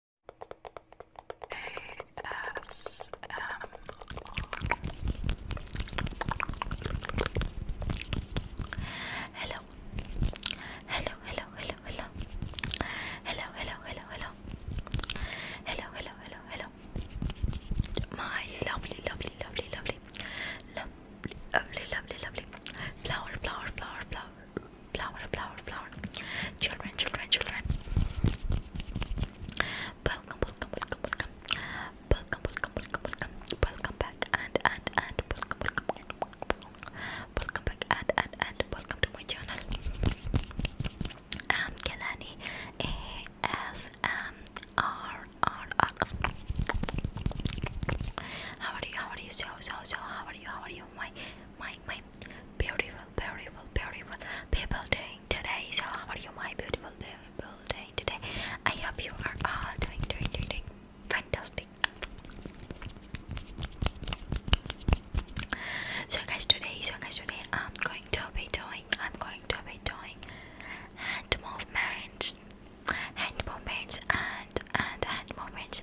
هلا هلا هلا هلا هلا هلا هلا هلا هلا هلا هلا هلا هلا my lovely lovely lovely lovely lovely lovely lovely lovely flower flower flower flower flower flower flower children children children welcome welcome welcome welcome welcome welcome welcome welcome welcome back and and and welcome welcome welcome, welcome back and and and welcome to my channel I'm Kelani ASMR how are you? How are you? So so so. How are you? How are you? My my my beautiful beautiful beautiful people doing today so how are you my beautiful beautiful doing today i hope you are all doing doing doing, doing fantastic so guys today so guys today i'm going to be doing i'm going to be doing hand movements hand movements and and hand movements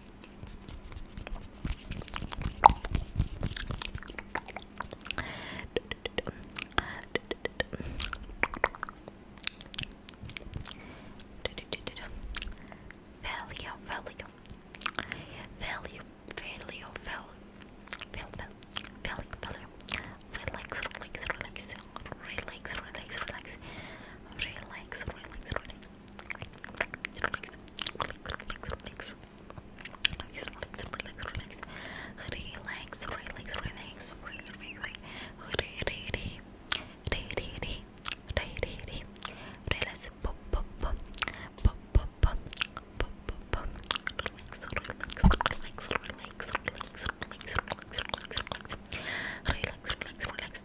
Value, value, value, value, value, value, relax, relax, relax, relax, relax, relax relax, relax, relax. Relax, relax, relax, relax. Relax, relax, relax, relax. Relax, relax, relax. Relax, pop, pop, pop, pop, pop, pop, pop, Relax, relax, relax, relax, relax, relax, relax, relax, relax, relax, relax, relax.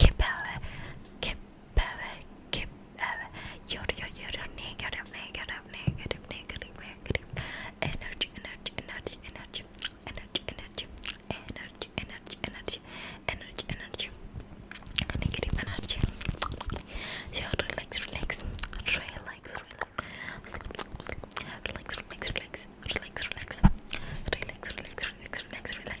Kipare, kipare, kipare. You're, you're, you're negative, negative, negative, negative, negative. Energy, energy, energy, energy, energy, energy, energy, energy, energy, energy, energy. Negative energy. So relax, relax, relax, relax, relax, relax, relax, relax, relax, relax, relax, relax, relax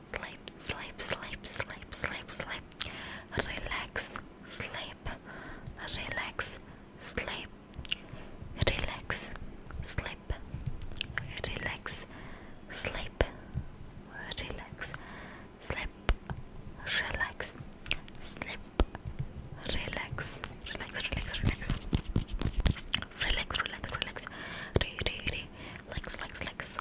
sleep, sleep, sleep, sleep, sleep, sleep, relax, sleep, relax, sleep, relax, sleep, relax, sleep, relax, sleep, relax, sleep, relax, relax, relax, relax. Relax, relax, relax. Re, re, re. Lex, lex, lex.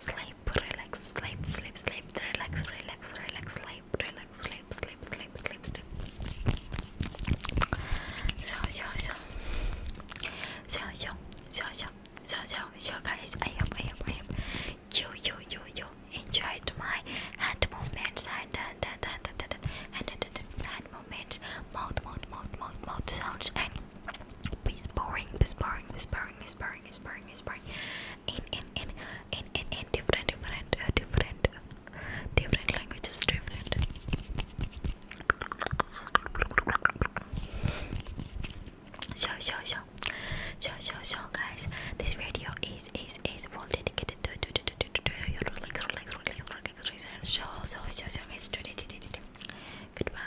sleep, relax, sleep, sleep, sleep, relax, relax, relax, sleep, relax, sleep, sleep, sleep, sleep, sleep. So, so, so, so, so, so, so, so, so, so, guys, I hope, I hope, I hope you, you, you, you enjoyed my hand movements and and and and and and and, and, and, and hand movements, mouth, mouth, mouth, mouth, mouth sounds and whispering, whispering, whispering, whispering sparring, sparring, sparring. In in in in in different different different different languages different. So so so so so so guys, this video is is is well dedicated to to to to to to your relax relax relax relax relax. So so so so guys, Goodbye.